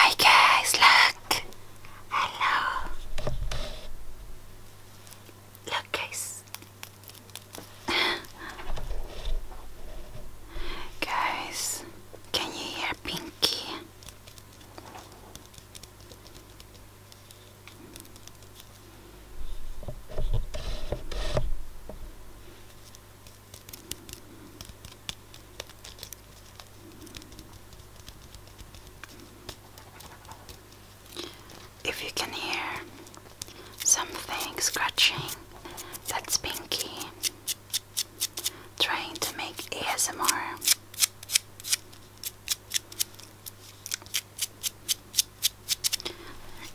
Hi guys, look! Hello! Look guys! guys, can you hear Pinky? If you can hear something scratching, that's Pinky trying to make ASMR.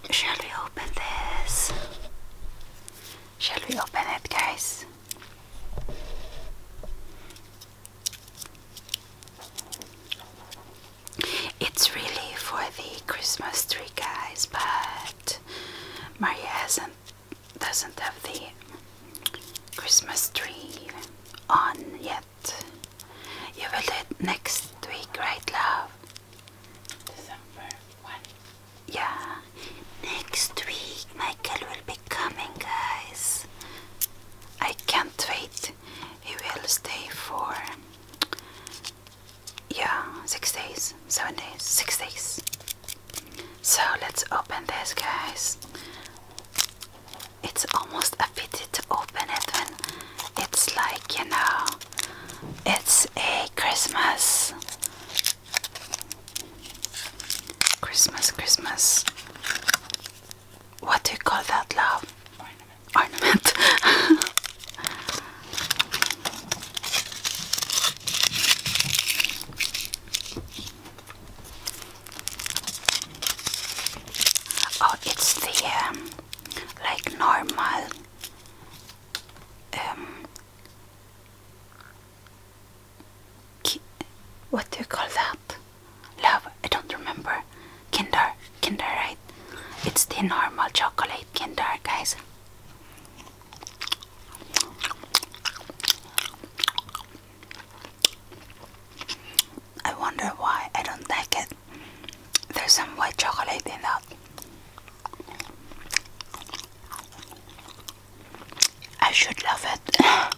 Shall we open this? Shall we open it, guys? It's really for the Christmas tree guys, but Maria hasn't doesn't have the Christmas tree on yet. You will do it next week, Great love? December 1. Yeah, next week Michael will be coming, guys. I can't wait. He will stay for. Yeah, six days, seven days, six days. So let's open this, guys. It's almost a pity to open it when it's like, you know, it's a Christmas Christmas, Christmas. What do you call that, love? Ornament. Ornament. oh, it's the um, like normal um, what do you call that? Love, I don't remember. Kinder, Kinder, right? It's the normal chocolate Kinder, guys. I wonder why I don't like it. There's some white chocolate in that. I should love it. I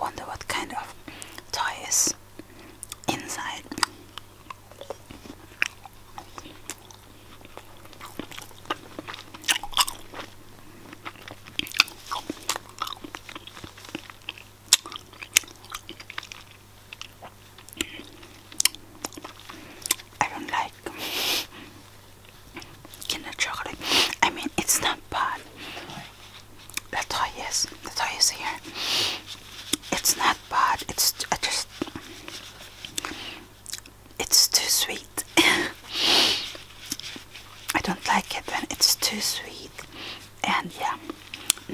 wonder what kind of toy is inside. I don't like Kinder chocolate. I mean, it's not bad. The toy is the toy is here. It's not bad. It's I just it's too sweet. I don't like it when it's too sweet. And yeah,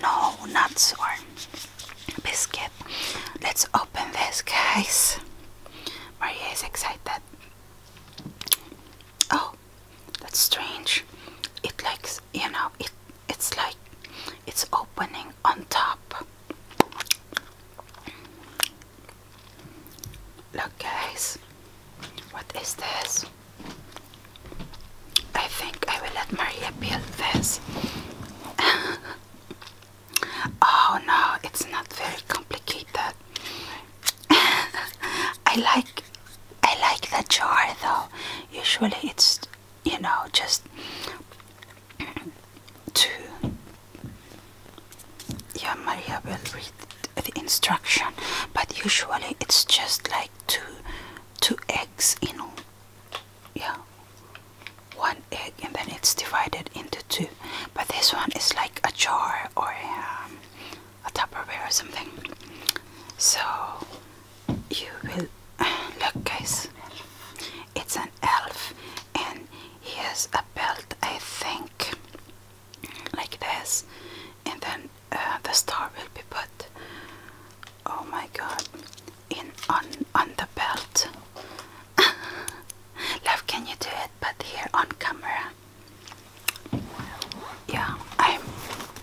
no nuts or biscuit. Let's open this, guys. Maria is excited. Oh, that's strange. It likes, you know, it it's like it's opening on top. Look, guys, what is this? I think I will let Maria build this. oh no, it's not very complicated. I like I like the jar though. Usually it's you know just to yeah Maria will read the instruction but usually it's just like two two eggs you know yeah one egg and then it's divided into two but this one is like a jar or um, a tupperware or something so you will Look, guys, it's an elf, and he has a belt, I think, like this, and then uh, the star will be put. Oh my God! In on on the belt. Love, can you do it? But here on camera. Yeah, I'm.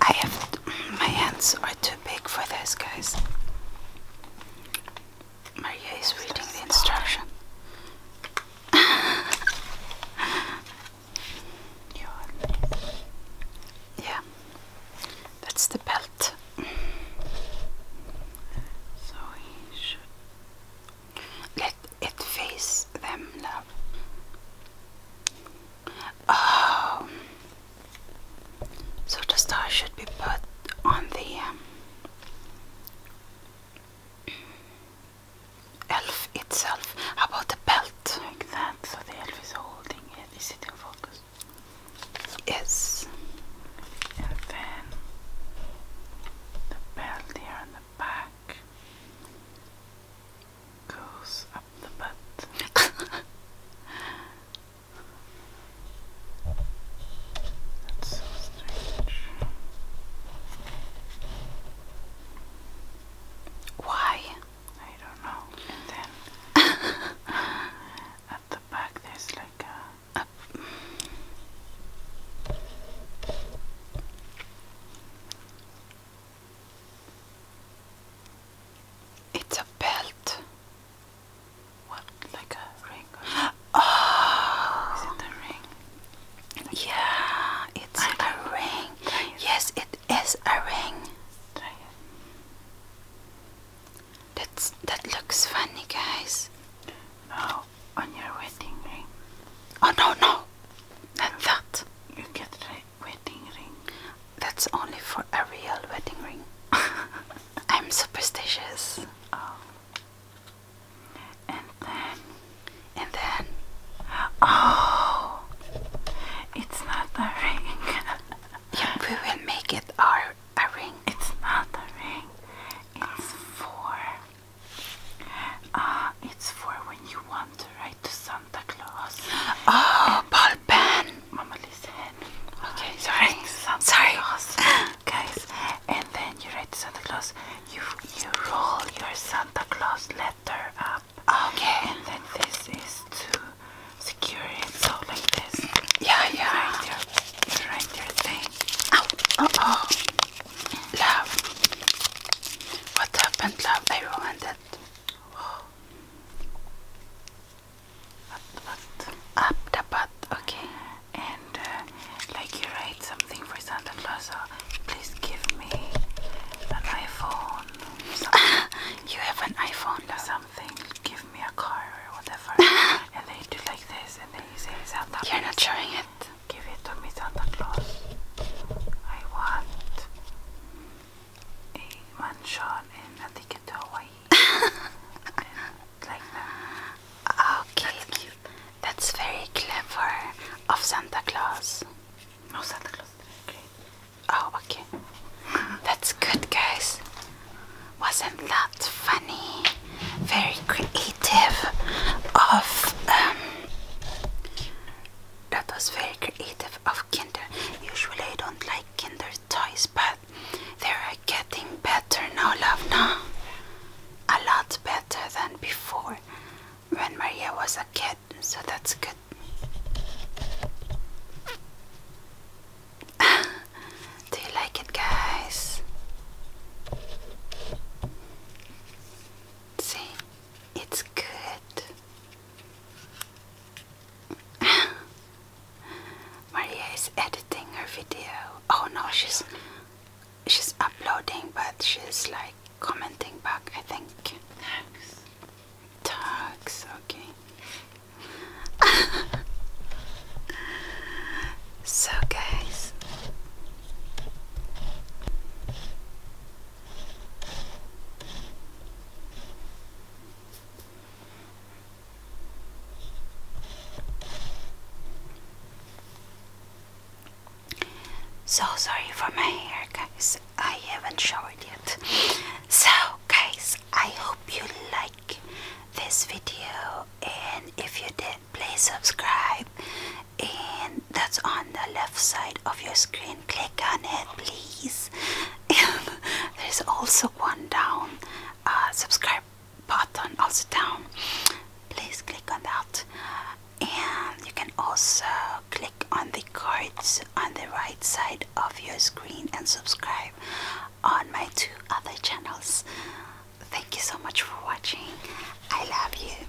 I have my hands are too big for this, guys. Maria is reading the instruction. yeah, that's the belt. So he should let it face them, love. Oh, so the star should be put on the um, elf itself. How about the belt? Like that, so the elf is holding it. Is it in focus? Yes. And then the belt there on the back goes up the belt. That's so strange. Why? I don't know. And then at the back there's like a. it's a belt. What? Like a ring? Oh! Is it a ring? Yeah, it's I a know. ring. Yes, it is a ring. That's, that looks funny, guys. No, on your wedding ring. Oh, no, no. Not that. You get right wedding ring. That's only for a real wedding ring. I'm superstitious. Oh. And then, and then, oh, it's not a ring. yeah, we will make it our a ring. It's not a ring. It's for. Uh, it's for when you want to write to someone Santa Claus. Oh, Paul pen. Mama, listen. Okay, sorry. sorry. guys, and then you write Santa Claus. You you roll your Santa Claus letter up. Okay. And then this is to secure it. So like this. Yeah, yeah. You write your thing. Oh, oh, Love. What happened, love? I ruined it. Oh. Up okay. And uh, like you write something for Santa Claus, or uh, please give me an iPhone. you have an iPhone or something. Give me a car or whatever. and they do like this, and then you say Santa. You're not showing it. Give it to me, Santa Claus. I want one shot in I think it's Hawaii. Okay. That's very clever of Santa Claus. No Santa Claus. Okay. Oh, okay. That's good, guys. Wasn't that funny? Very creative. Of um, that was very creative of Kinder. Usually I don't like Kinder toys, but they are getting better now, love. a lot better than before when Maria was a kid, so that's good. Do you like it, guys? See, it's good. Maria is editing her video. Oh no, she's she's uploading, but she's like commenting back. I think. Tags. Tags. Okay. so guys, so sorry for my hair, guys. I haven't showered yet. So, guys, I hope you like this video, and if you did, please subscribe and that's on the left side of your screen. Click on it, please. There's also one down, uh, subscribe button also down. Please click on that, and you can also click on the cards on the right side of your screen and subscribe on my two other channels. Thank you so much for watching. I love you.